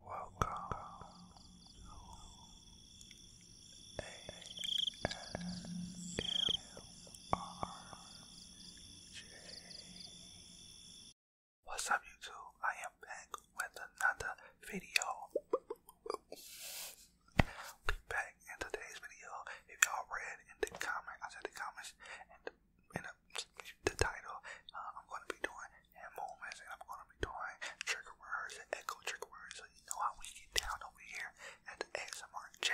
Welcome to What's up, YouTube? I am back with another video. Be back in today's video. If y'all read in the comments, I said the comments and in the, title, uh, I'm going to be doing and movements, and I'm gonna be doing trigger words and echo trigger words, so you know how we get down over here at ASMR J.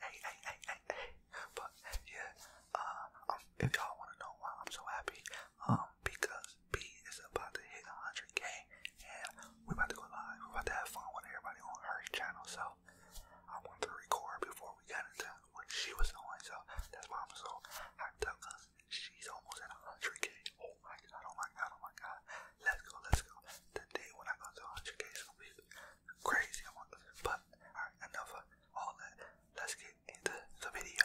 Hey, hey, hey, hey, But yeah, um, if y'all wanna know why I'm so happy, um, because B is about to hit 100k, and we're about to go live. We're about to have fun with everybody on her channel, so I wanted to record before we got into what she was doing, so that's why I'm so hyped up. She's almost at 100k. Oh my god, oh my god, oh my god. Let's go, let's go. The day when I go to 100k is gonna be crazy. I want to, but alright, enough of all that. Let's get into the video.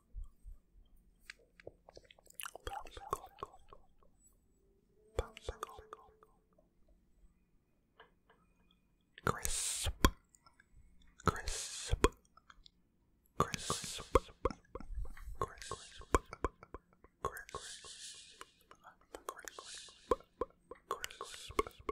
Popsicle. Popsicle. Crisp. Crisp. Crisp. Crisp. Crisp. Crisp. Crisp. Crisp.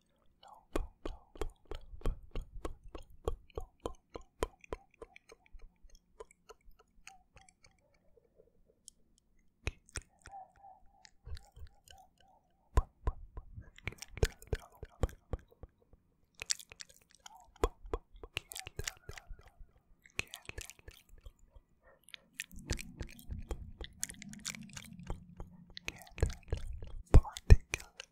Particle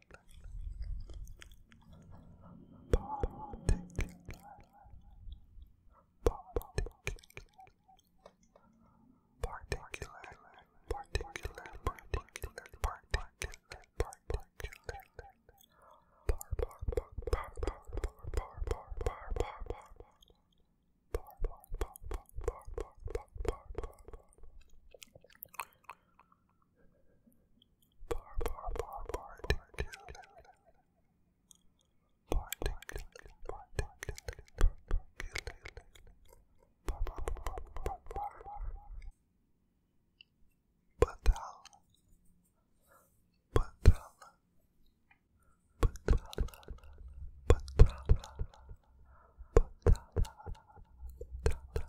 Particular, Bar bar bar bar Patala, patala, patala, patala,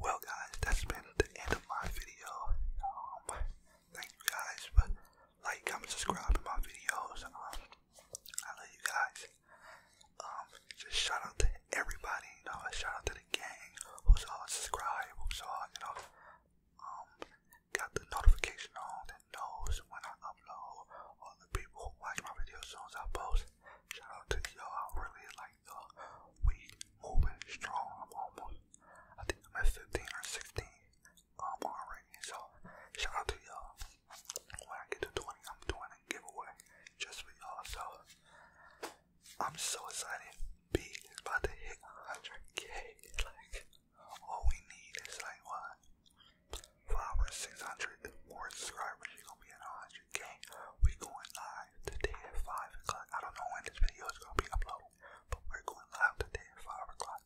Well, guys, that's been the end of my video. Um, thank you guys for like, comment, subscribing my videos. Um, I love you guys. Um, just shout out to everybody, you shout out to the gang who's all subscribed, who's all, you know, got the notification on that knows when I upload, all the people who watch my videos as I post. Shout out to y'all. I really like you We moving strong. I'm almost, I think I'm at 15 or 16 um, already. So, shout out to y'all. When I get to 20, I'm doing a giveaway just for y'all. So, I'm so excited. B is about to hit 100K. Like, all we need is like what? 500 or 600 more subscribers. You're be at UK. we going live today at 5 o'clock. I don't know when this video is going to be uploaded, but we're going live today at 5 o'clock.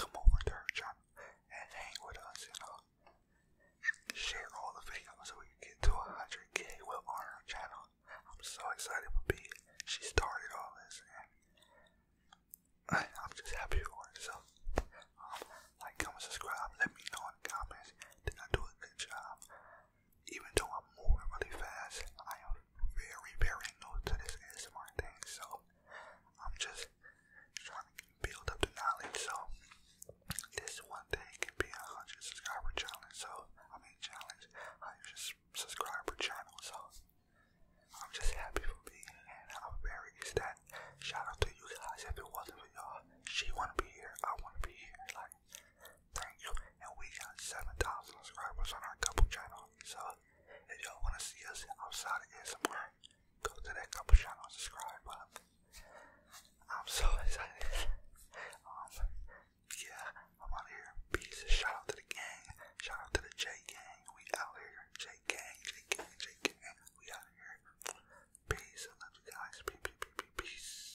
Come over to our channel and hang with us and uh, share all the videos so we can get to 100k well on our channel. I'm so excited for B. She started all this and I'm just happy for it. So, um, like, comment, subscribe, let me know in the comments. Did I do a good job? even though I'm moving really fast, I am very, very new to this ASMR thing, so I'm just trying to build up the knowledge. So this one day can be a hundred subscriber challenge. So I mean challenge, hundred subscriber channel. So I'm just happy for me, and I'm very is that shout out to you guys. If it wasn't for y'all, she wanna be here. I wanna be here. Like Thank you. And we got 7,000 subscribers on our couple channel. So if y'all want to see us outside of ASMR, go to that couple channel subscribe. Um, I'm so excited. um, yeah, I'm out of here. Peace. Shout out to the gang. Shout out to the J gang. We out here. J gang, J gang, J gang. We out here. Peace. love you guys. Peace, peace, peace, peace.